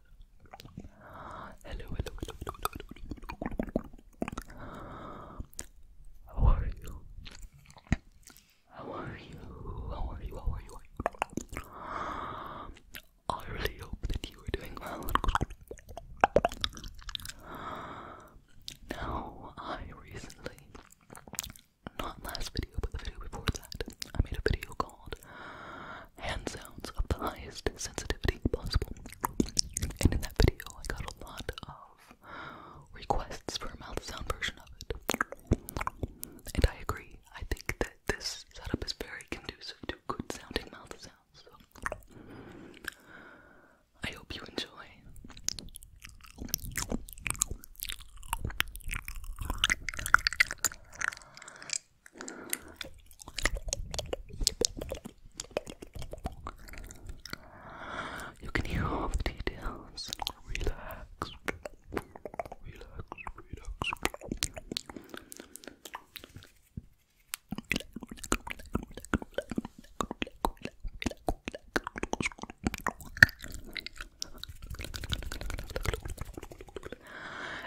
Hello, hello, hello, hello, hello. How are you? How are you? How are you? How are you? I really hope that you are doing well. Now, I recently, not last video, but the video before that, I made a video called hand sounds of the highest sensitivity possible. And in that video, I got a lot of requests for a mouth sound version of it. And I agree, I think that this setup is very conducive to good sounding mouth sounds. I hope you enjoy. You can hear all the details. Relax. Relax, relax.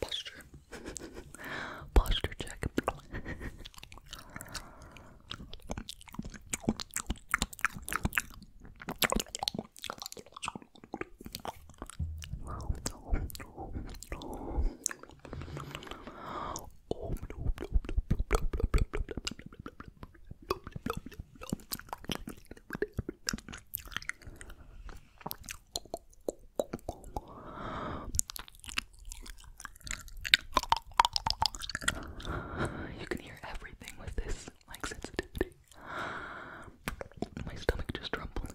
Posture. Posture check. You can hear everything with this, like sensitivity. My stomach just rumbled.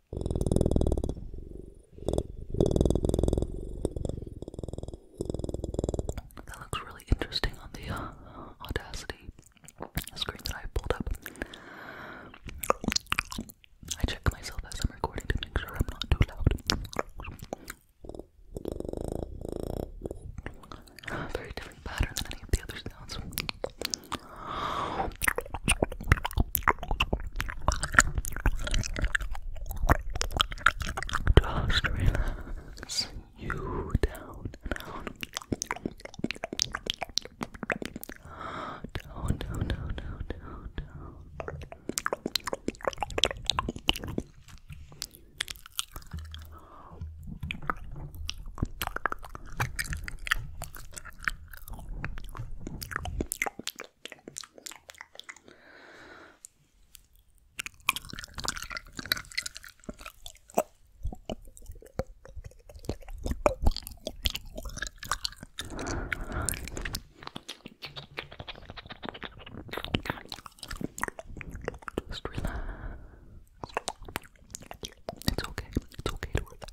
That looks really interesting on the uh, Audacity screen that I pulled up. I check myself as I'm recording to make sure I'm not too loud. Very different pattern than any of the other sounds. Just relax you down down. Down, down, down, down, just relax. It's okay. It's okay to relax.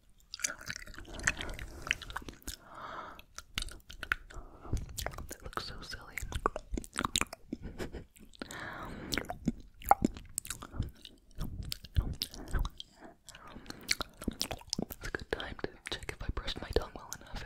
That looks so silly. It's a good time to check if I brushed my tongue well enough, eh?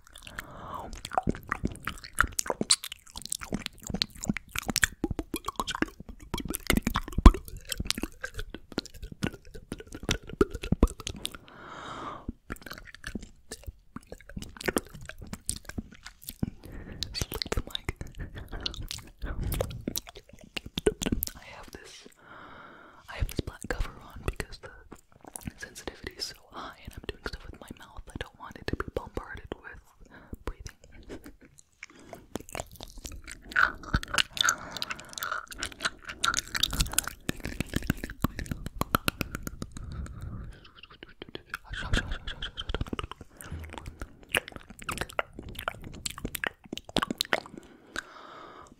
Slick the mic. I have this I have this black cover on because the sensitivity is so high and I'm doing stuff with my mouth, I don't want it to be bombarded with breathing.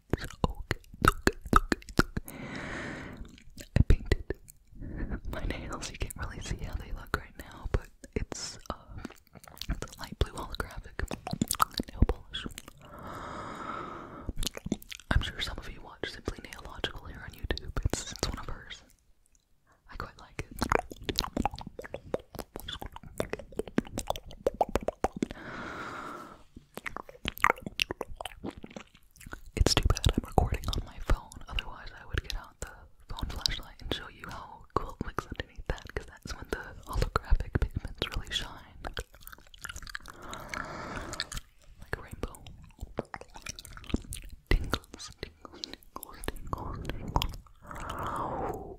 okay, okay, okay, okay. I painted my nails. You can't really see how they look right now, but it's a uh, light blue holographic nail polish. I'm sure some of you watch Simply Naillogical here on YouTube. It's it's one of hers. I quite like it. It's too bad I'm recording on my phone, otherwise I would get out the phone flashlight and show you how cool it looks underneath that, because that's when the holographic pigments really shine. Like a rainbow. Tingles, tingles, tingles, tingles, tingles.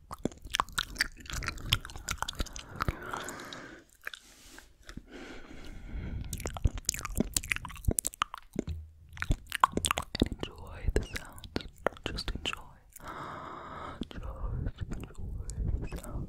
and enjoy the sounds. Just enjoy. Just enjoy the sounds.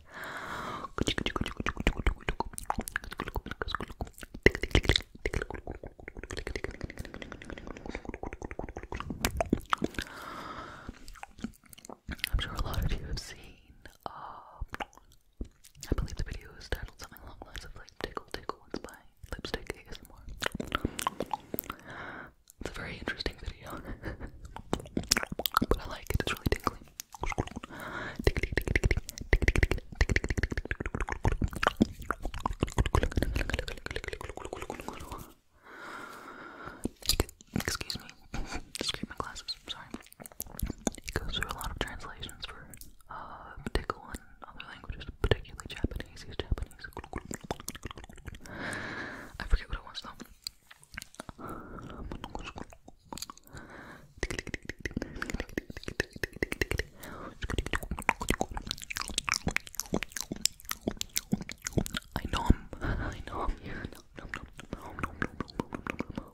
i I'm sure a lot of you have seen, uh, I believe the video is titled something along the lines of like Tickle Tickle, it's by Lipstick ASMR. It's a very interesting video, but I like it, it's really tingly. Excuse me. Excuse my glasses. I'm sorry. He goes through a lot of translations for uh, tickle and other languages, particularly Japanese. He's Japanese. I forget what it was though. I know him. I know him. Yeah. No, no, no, no, no, no, no, no.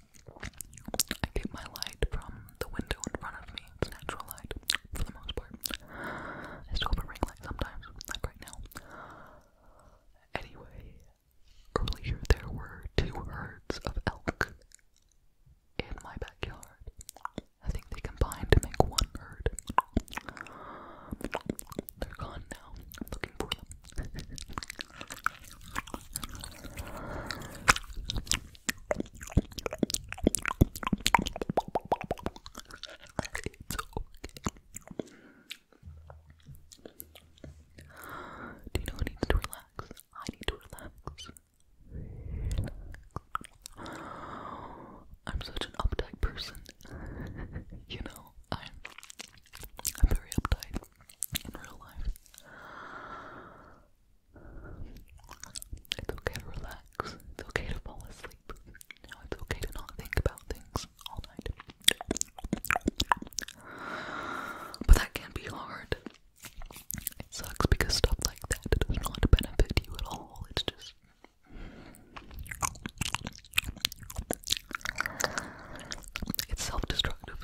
I get my light from the window in front of me. It's natural light for the most part. I still have a ring light sometimes, like right now. Anyway, earlier there were two herds of elk in my backyard. I think they combined to make one herd. They're gone now. I'm looking for them. Do you know who needs to relax? I need to relax. I'm such an uptight person. you know, I'm, I'm very uptight in real life. It's okay to relax. It's okay to fall asleep. Now it's okay to not think about things all night. But that can be hard. It sucks because stuff like that does not benefit you at all. It's just. It's self destructive.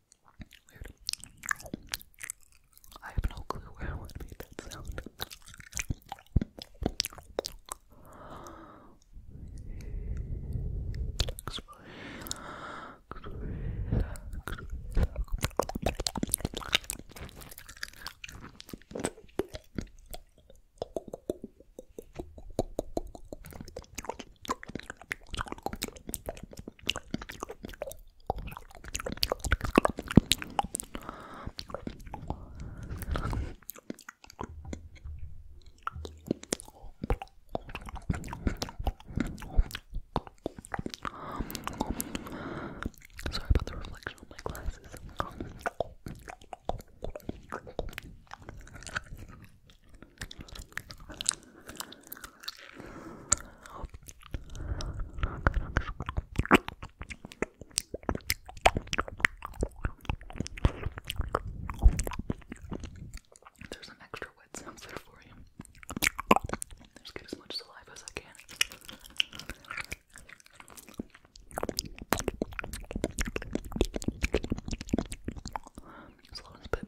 I have no clue where I want would made that sound. Sorry about the reflection on my glasses. There's an extra wet sound there for you. Just get as much saliva as I can. Slow and spit.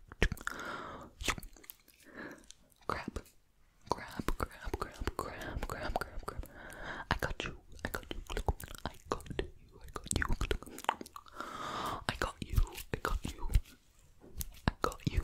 Grab, grab, grab, grab, grab, grab, grab, grab. I got you. I got you. I got you. I got you. I got you. I got you. I got you.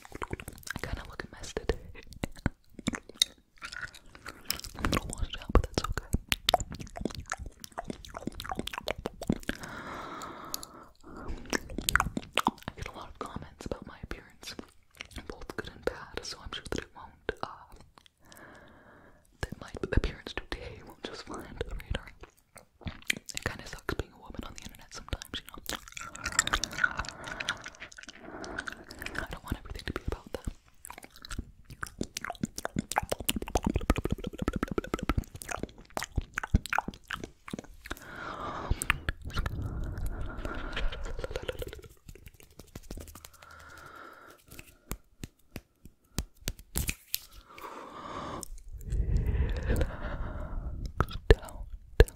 I kind of look a mess today. I'm gonna wash it out, but that's okay. I get a lot of comments about my appearance, both good and bad, so I'm sure that it won't, uh, that my appearance today won't just fly under the radar. It kind of sucks being a woman on the internet sometimes. I don't want everything to be about them. down, down,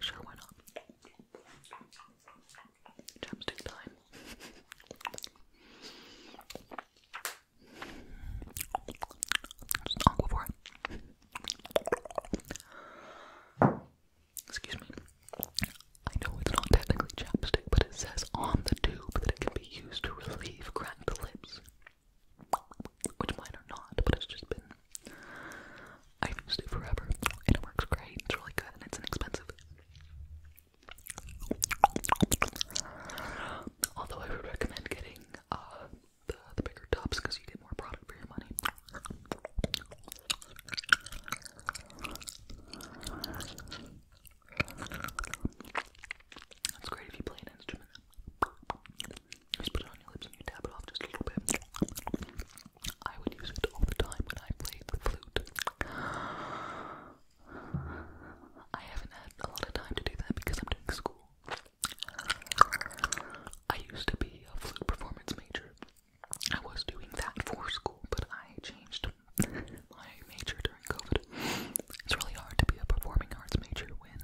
Sure, why not? Chapstick time. It's aquaphor. Excuse me. I know it's not technically chapstick, but it says on the tube that it can be used to relieve cracked lips which mine not, but it's just been. I've used it forever, and it works great. It's really good, and it's inexpensive. Although I would recommend getting uh, the, the bigger tubs because you get more product for your money. That's great if you play an instrument. Just put it on your lips and you tap it off just I would use it all the time when I played the flute. I haven't had a lot of time to do that because I'm doing school. I used to be a flute performance major. I was doing that for school, but I changed my major during COVID. It's really hard to be a performing arts major when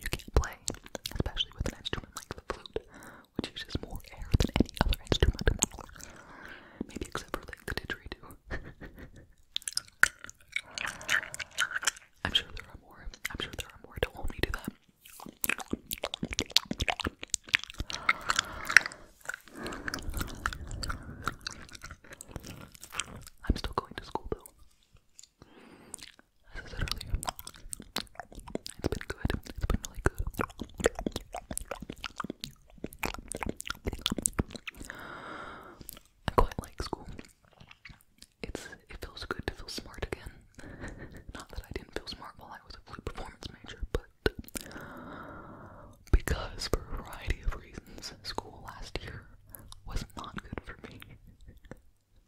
you can't play, especially with an instrument like the flute which uses more air than any other instrument. Maybe except for the didgeridoo. I'm sure there are more. I'm sure there are more. Don't hold that. I'm still going to school though. As I said it's been good. It's been really good. I quite like school. It's it feels good to feel smart again. Not that I didn't feel smart while I was a flute performance major, but because for a variety of reasons, school last year was not good for me.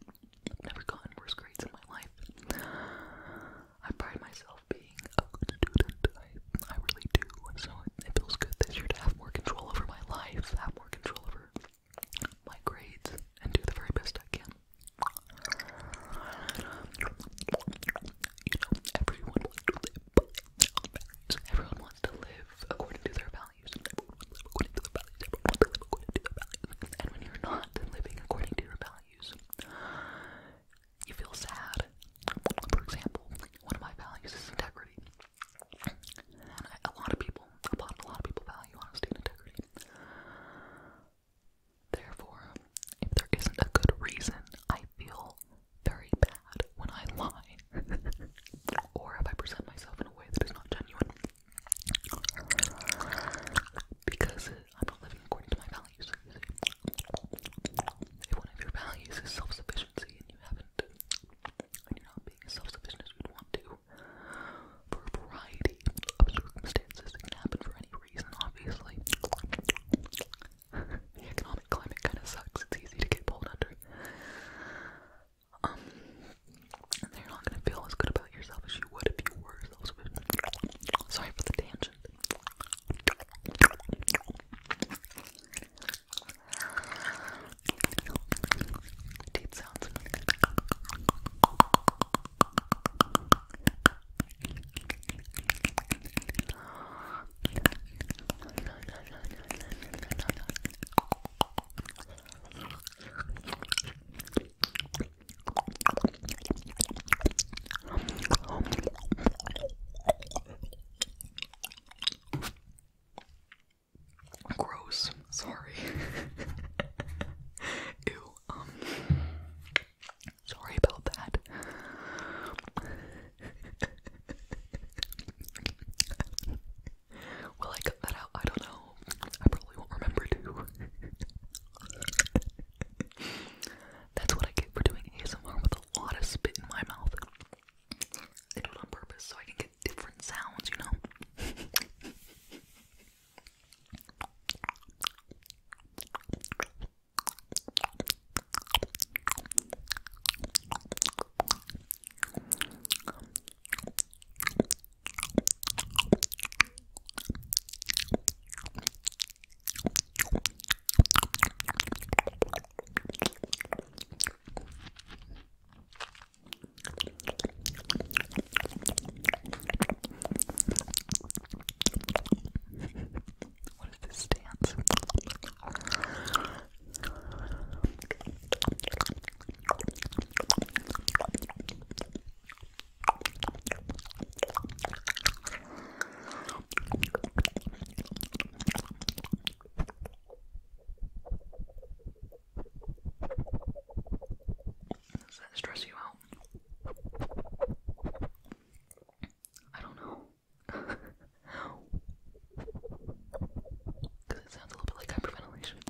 I've Never gotten worse grades in my life. I pride myself being a good student. I, I really do. So it, feels good this year have more control over my life, have more control over my grades, and do the very best I can. You know, everyone wants to live. Everyone wants to live according to their values and when you're not living according to your values, you feel sad. For example, one of my values is integrity, and lot of people, a lot, a lot of people value honesty and integrity. Therefore, if there isn't a good reason, I feel very bad when I lie, or if I present myself in a way that is not genuine. Because I'm not living according to my values. If one of your values is self sufficiency and you haven't, and you're not being as self sufficient as you'd want to, for a variety of circumstances, it can happen for any reason, obviously. the economic climate kind of sucks, it's easy to get pulled under. Um, and you're not gonna feel as good about yourself as you would if you were self Sorry for the tangent. Deep sounds. Gross. Sorry. Ew. Um. Sorry about that. Will I cut that out? I don't know. I probably won't remember too. That's what I get for doing ASMR with a lot of spit in my mouth. I do it on purpose so I can get different sounds, you know? What is this dance? Does that stress you out? I don't know. Because it sounds a little bit like hyperventilation.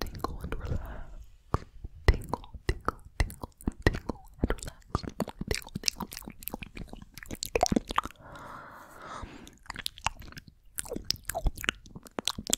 Tingle and relax. Tingle, tingle, tingle, tingle and relax. Tingle, tingle, tingle, tingle.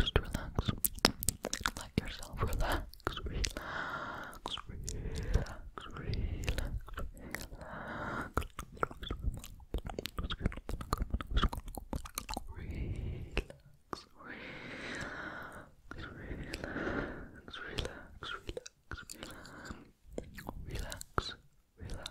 Just relax. Let yourself relax. Relax. Relax. Relax. Relax. Relax. Relax. Relax. Relax. Relax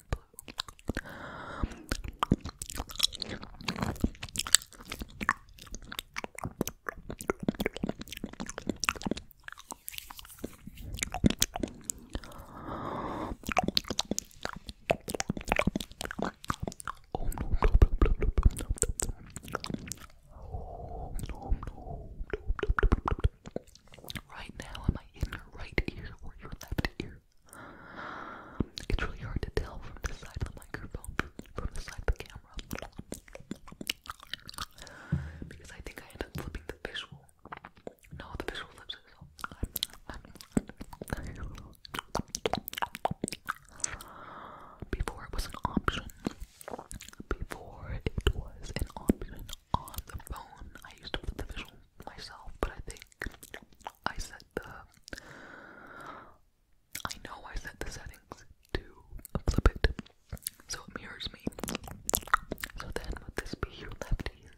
Oh no, Right now, am I in your right ear or your left ear? It's really hard to tell from the side of the microphone, from the side of the camera. Because I think I end up flipping the visual. No, the visual flips it. Before it was an option. Before it was an option on the phone, I used to put the visual myself, but I think I set the. I know I set the settings to flip it so it mirrors me. So then, would this be your left ear?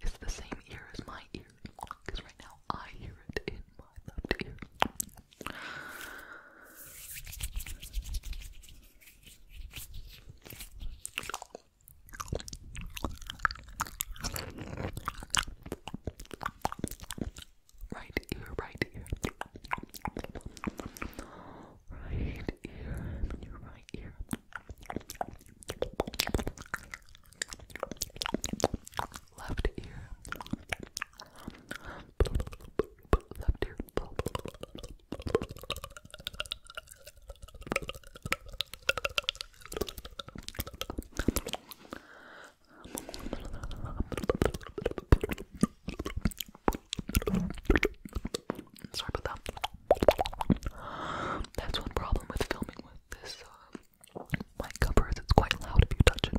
It's the same ear as my ear because right now I hear it in my left ear. Right ear, right ear. Right ear, and then your right ear. Left ear. Left ear. Sorry about that. That's one problem with filming with this uh, mic cover is it's quite loud if you touch it.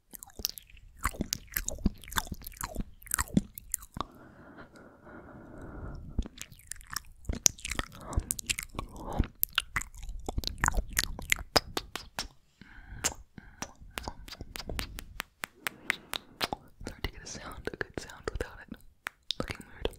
Hard to get a sound, a good sound without it looking weird.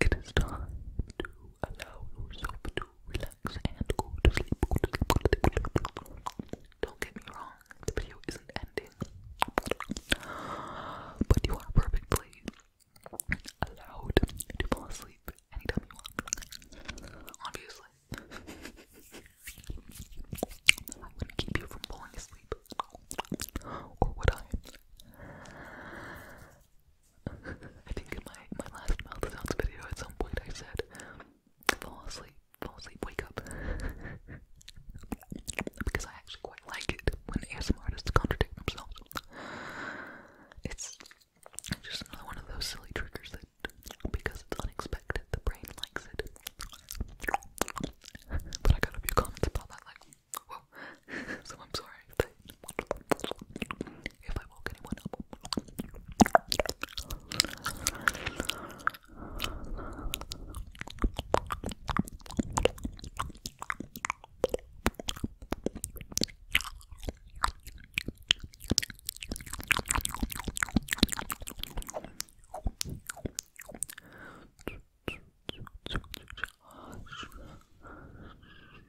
It is time to allow yourself to relax and go to sleep. Don't get me wrong, the video isn't ending. But you are perfectly allowed to fall asleep anytime you want. Obviously. I wouldn't keep you from falling asleep. Or would I? I think in my, my last mouth sounds video at some point I said, fall asleep, fall asleep, wake up. because I actually quite like it when ASMR artists contradict themselves. It's just another one of those silly triggers that, because it's unexpected, the brain likes it. but I got a few comments about that, so I'm sorry if I woke anyone up.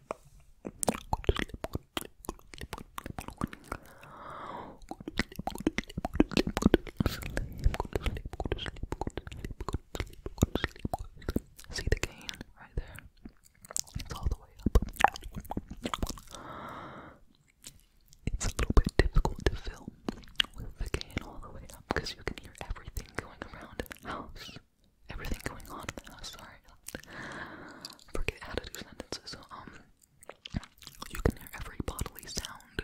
See the cane right there? It's all the way up. It's a little bit difficult to film with the cane all the way up because you can hear everything going around the house everything going on in the house. Sorry, forget how to do sentences. Um, you can hear every bodily sound.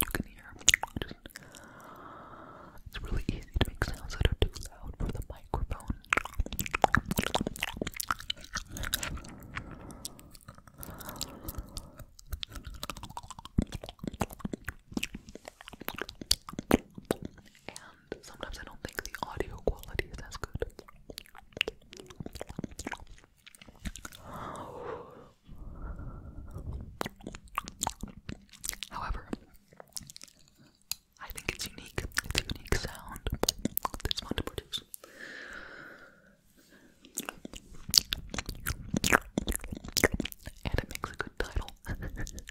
You can hear. Just, it's really easy to make sounds that are too loud for the microphone sometimes I don't think the audio quality is as good. However, I think it's unique. It's a unique sound. It's fun to produce. And it makes a good title.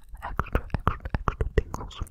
extra, extra, extra tingles.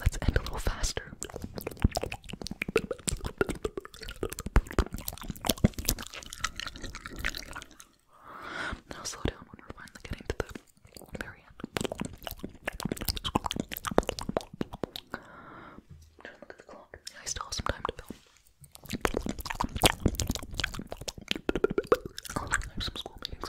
Let's end a little faster. Now slow down when we're finally getting to the very end. Don't look at the clock. I still have some time to film. Oh, I have some school meetings.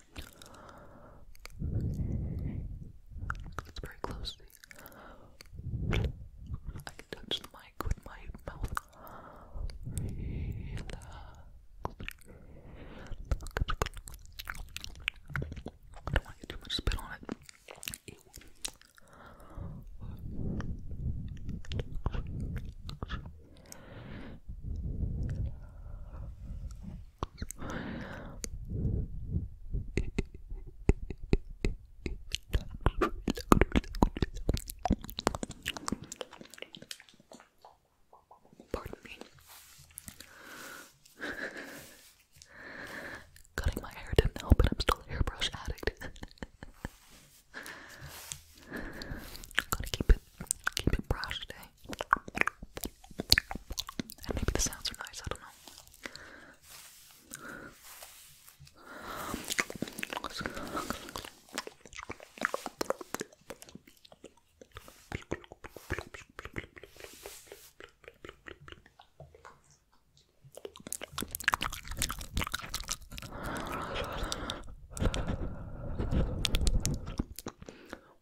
It's very close. I can touch the mic with my mouth. don't want to get too much spit on it. Pardon me. Cutting my hair didn't help, and I'm still a hairbrush addict. Gotta keep it, keep it brushed, eh? maybe the sounds are nice, I don't know.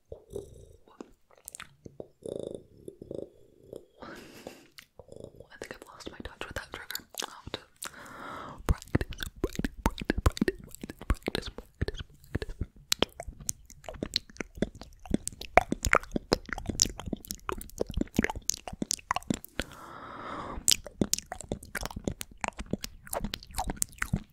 I think I've lost my touch with that trigger.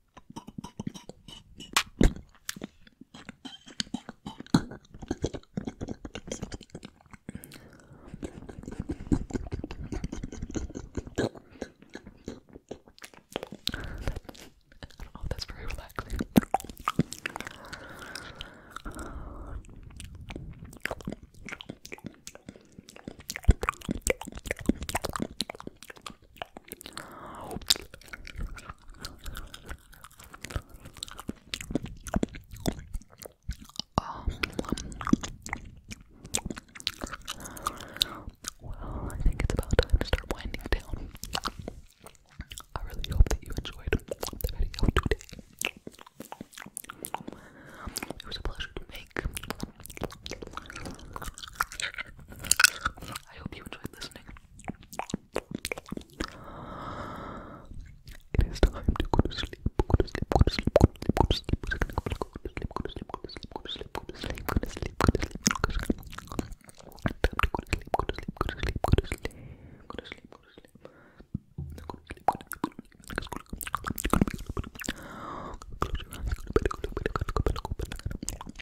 I don't know if that's very relaxing well, I think it's about time to start winding down. I really hope that you enjoyed the video today. It was a pleasure to make. I hope you enjoyed listening. It is time to go to sleep. Go to sleep. Go to sleep. Go to sleep. Go to sleep. Go to sleep. Go to sleep. Go to sleep. Go to sleep. Go to sleep. Go to sleep. Go to sleep. Go to sleep. Time to go to sleep. Go to sleep. Go to sleep. Go to sleep. Go to sleep. Go to sleep. Go to sleep. Go to sleep. Close your eyes. Go to bed. Go to bed. Go to bed. Go to bed. Go to bed.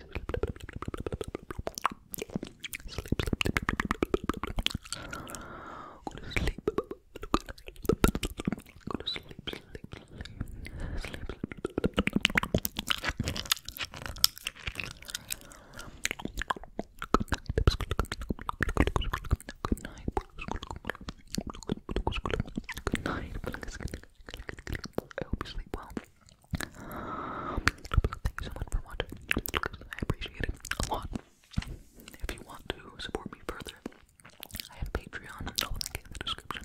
Good night. Good night. I hope you sleep well. Thank you so much for watching. I appreciate it a lot. If you want to support me further, I have Patreon. in the description.